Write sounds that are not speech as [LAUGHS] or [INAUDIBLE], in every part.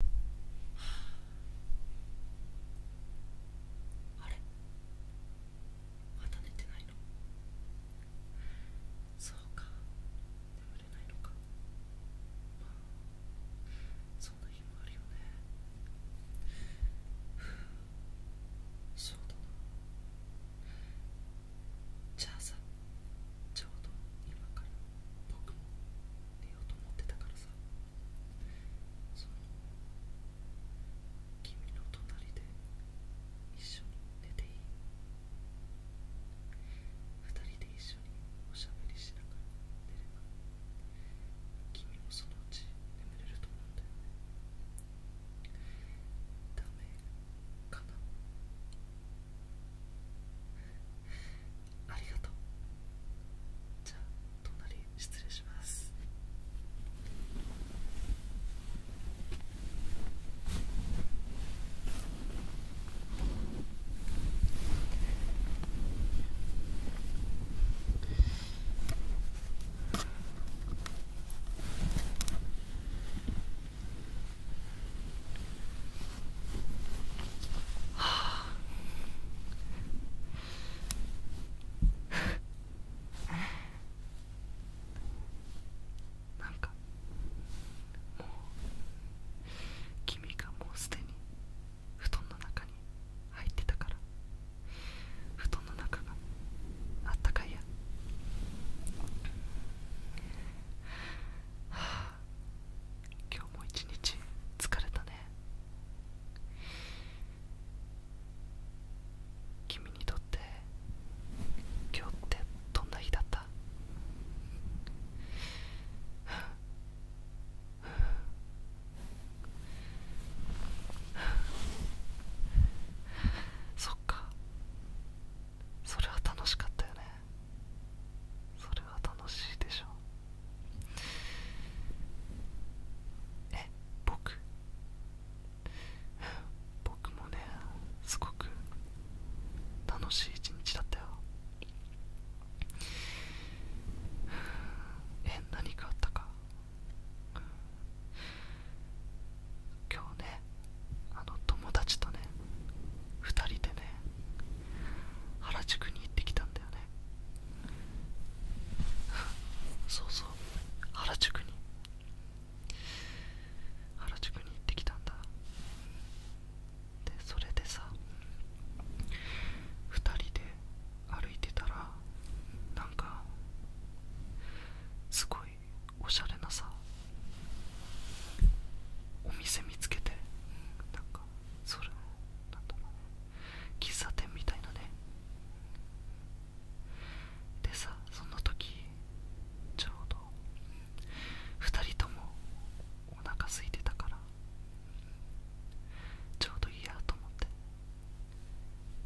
あれまた寝てないのそうか眠れないのかまあそんな日もあるよねふうだなじゃあさちょうど今から僕も寝ようと思ってたからさその君の隣で一緒に寝ていい二人で一緒におしゃべりしながら寝れば君もそのうち眠れると思うんだよねダメかなありがとうじゃあ隣失礼しますはなんかもう君がもうすでに布団の中に入ってたから布団の中があったかいやはあ今日も一日疲れたね君にとって今日ってどんな日だったそっかそれは楽しかったよねそれは楽しいでしょえ僕僕もねすごく楽しい一日だったよえ何かあったか今日ねあの友達とね2人でね原宿に行ってきたんだよね [LAUGHS] そうそう原宿に原宿に行ってきたんだでそれでさ2人で歩いてたらなんかすごいおしゃれなさお店見つけてなかそれなんだろう喫茶店みたいなねでさその時ちょうど2人ともお腹空いてたからちょうどいいやと思って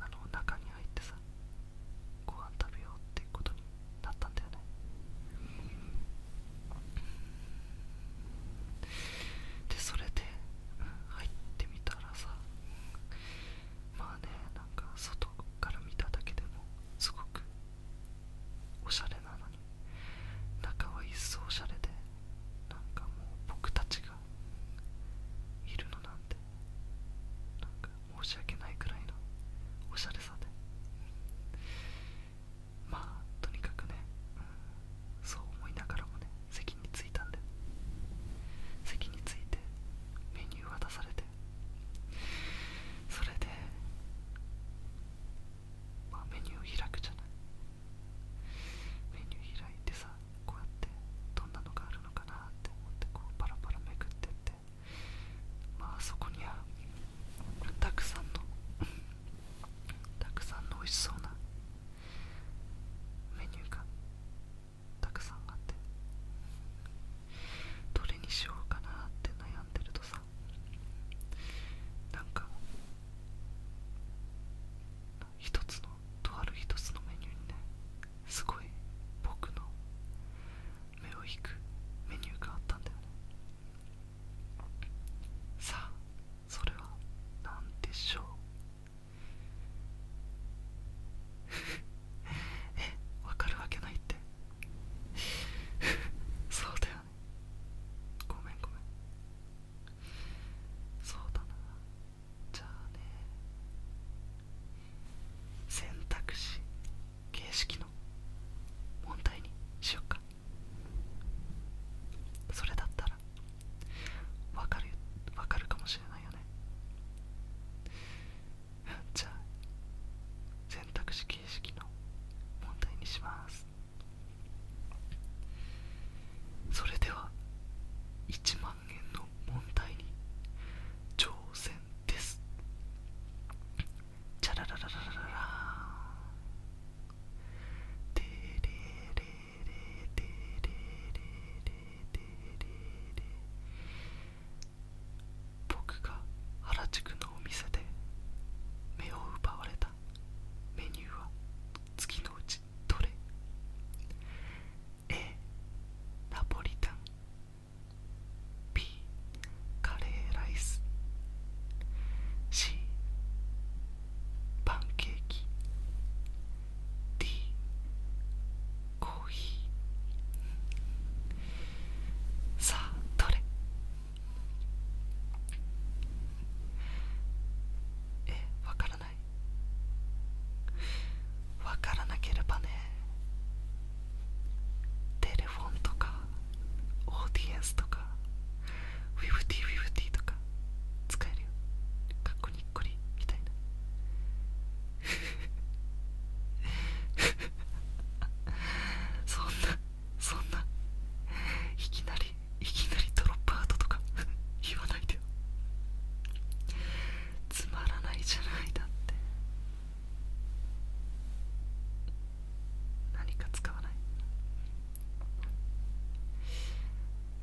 あの中に入ってさご飯食べようってことになったんだよねでそれで、入ってみたらさまあねなんか外から見ただけでもすごくおしゃれなのに中は一層おしゃれでなんかもう僕たちがいるのなんてなんか申し訳ないくらいのおしゃれさでまあとにかくね、そう思いながらもね席に着いたんで席に着いてメニュー渡されてそれで、まメニューを開くじゃないメニュー開いてさこうやってどんなのがあるのかなって思ってこうパラパラめくってってまあそこにはたくさんのたくさんの美味しそうなメニューがたくさんあってどれにしようかなって悩んでるとさなんか一つのとある一つのメニューにねすごい僕の目を引くメニューがあったんだよねさあそれは何でしょう [LAUGHS] えわかるわけないって [LAUGHS] そうだよねごめんごめんそうだなじゃあね選択肢形式の問題にしよっかそれだったらわかるわかるかもしれないよね [LAUGHS] じゃあ選択肢形式の問題にしますそれでは1万円の問題に挑戦ですチャララララララーンれ。レレ僕が原宿のお店で目を奪われたメニューは次のうちどれ A ナポリタン B カレーライス C パンケーキ D コーヒーさあどれえわからないわからなければねテレフォンとかオーディエンスとかウィブティウィブティとか使えるよかっこにっこりみたいな [LAUGHS] そんなそんないきなりいきなりドロップアウトとか [LAUGHS] 言わないでよつまらないじゃないだって何か使わない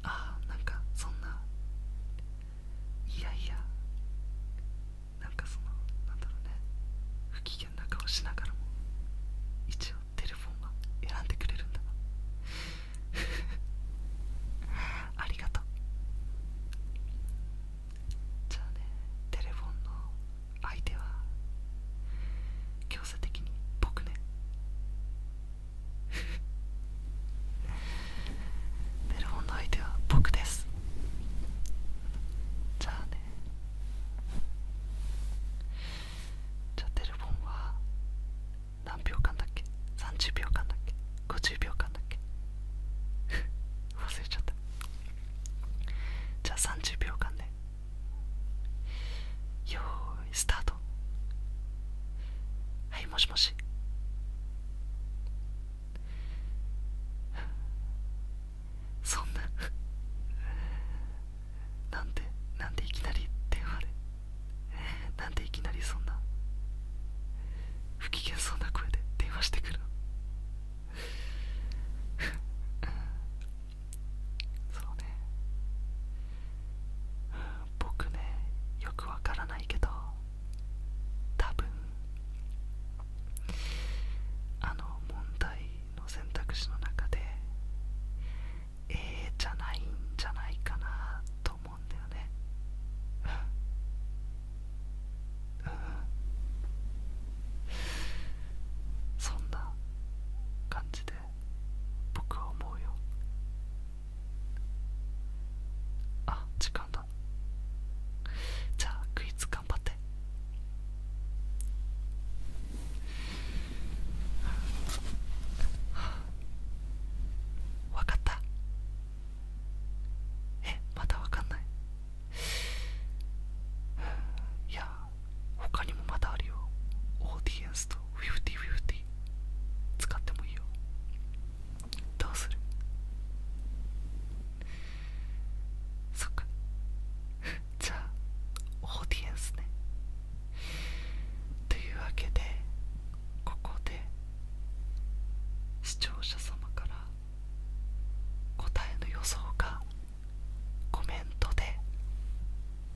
ああなんかそんないやいやなんかそのなんだろうね不機嫌な顔しながらも一応テレフォンは選んでくれるんだな [LAUGHS] ありがとうじゃあねテレフォンの相手は強制的に僕ねベルフォンの相手は僕ですじゃあねじゃあテレフォンは何秒間だっけ30秒間だっけ50秒間だっけ [LAUGHS] 忘れちゃったじゃあ30秒間で、ね、よーいスタートはいもしもし [LAUGHS] そんな [LAUGHS] なんでなんでいきなり電話で [LAUGHS] なんでいきなりそんな不機嫌そうな声で電話してくるそうね僕ねよくわからないけど多分あの問題の選択肢の中でええじゃないんじゃないかなと思うんだよねそんな感じで僕は思うよあ時間だじゃあクイズ頑張ってわかったえまだわかんないいや他にもまだあるよオーディエンスとフィフティフィフテ使ってもいいよどうするそっか [LAUGHS] じゃあオーディエンスねというわけでここで視聴者様から答えの予想がコメントで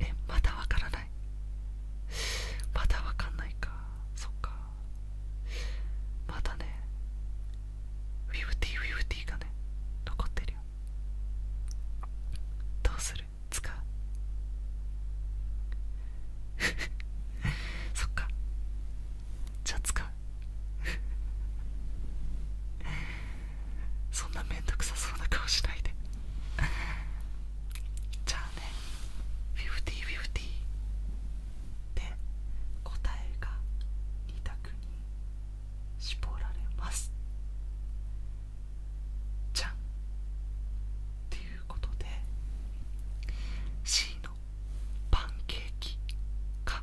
えまだわからないまだわかんないかそっかまだねウィブティーウィブティーがね残ってるよどうする使う [LAUGHS] そっかじゃあ使うそんなめんどくさそうな顔しないで [LAUGHS] じゃあね5050で答えが2択に絞られますじゃんっていうことで C のパンケーキか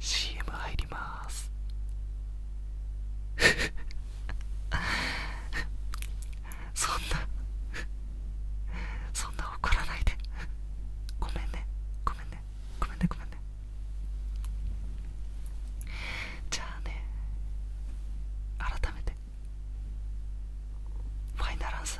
CM 入ります [LAUGHS] そんなそんな怒らないでごめんねごめんねごめんねごめんねじゃあね改めてファイナルアンサー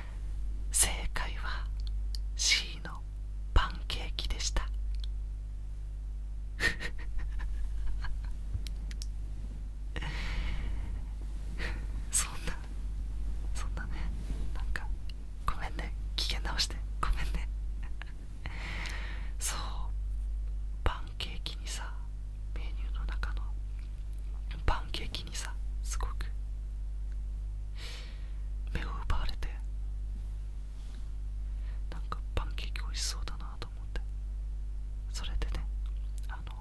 正解は C のパンケーキでした [LAUGHS] そんなそんなねなんかごめんね機嫌直してごめんねそうパンケーキにさメニューの中のパンケーキ気にさすごく目を奪われてなんかパンケーキ美味しそうだなと思ってそれでねあの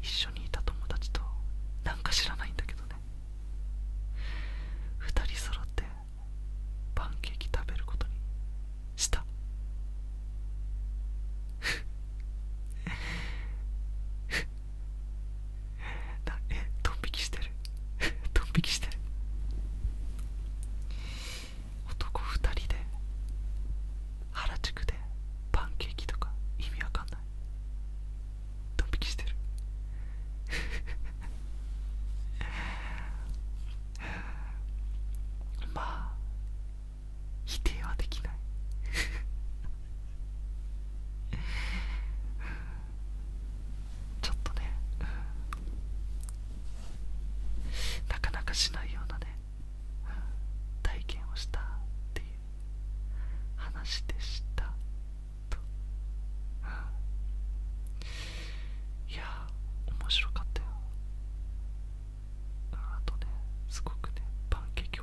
一緒にいた友達となんか知らないんだけどね2人揃ってパンケーキ食べることにした [LAUGHS] [LAUGHS] ええドン引きしてる [LAUGHS] ドン引きしてる男2人で原宿でパンケーキとか意味わかんないドン引きしてるまあ [LAUGHS] 否定はできない [LAUGHS] ちょっとねなかなかしないようなね体験をしたっていう話でしたといや面白かったよあとねすごくねパンケーキ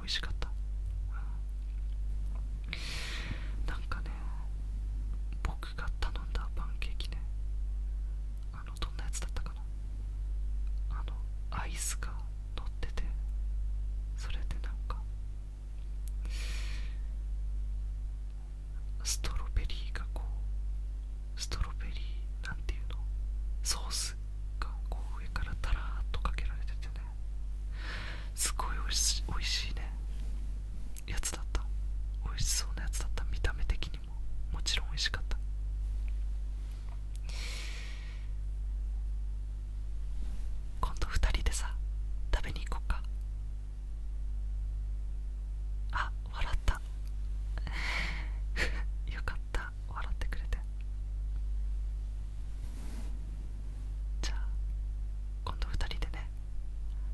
なんかね僕が頼んだパンケーキねあのどんなやつだったかなあのアイスが乗っててそれでなんかストロベリーがこうストロベリーなんていうのソースがこう上からたらっとかけられててねすごいおいしおいしいねやつだった美味しそうなやつだった見た目的にももちろん美味しかった今度2人でさ食べに行こっかあ笑った [LAUGHS] よかった笑ってくれてじゃあ今度2人でね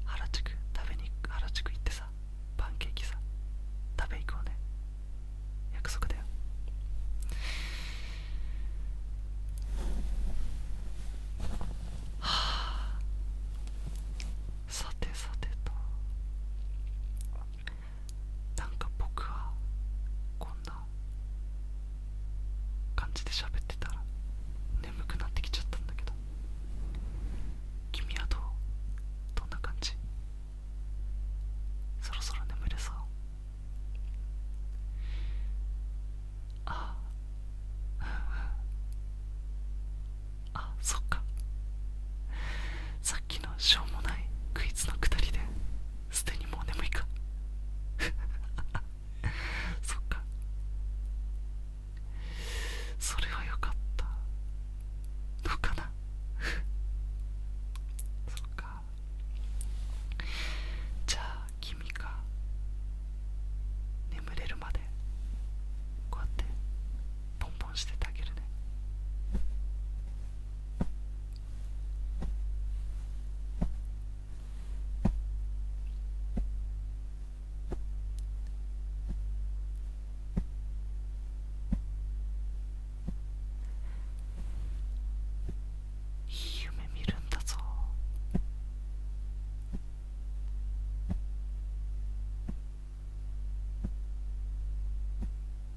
原宿食べに行く、原宿行ってさパンケーキさ食べ行こうね約束だよはあさてさてとなんか僕はこんな感じで喋ってたら眠くなってきちゃったんだけど君はどうどんな感じそろそろ眠れそうあああそっかさっきのしょうもないクイズのくだりですでにもう眠いか [LAUGHS] そっかそれはよかったどうかな [LAUGHS] そっかじゃあ君か。眠れるまでこうやってポンポンしててあげるね夢見るんだぞ。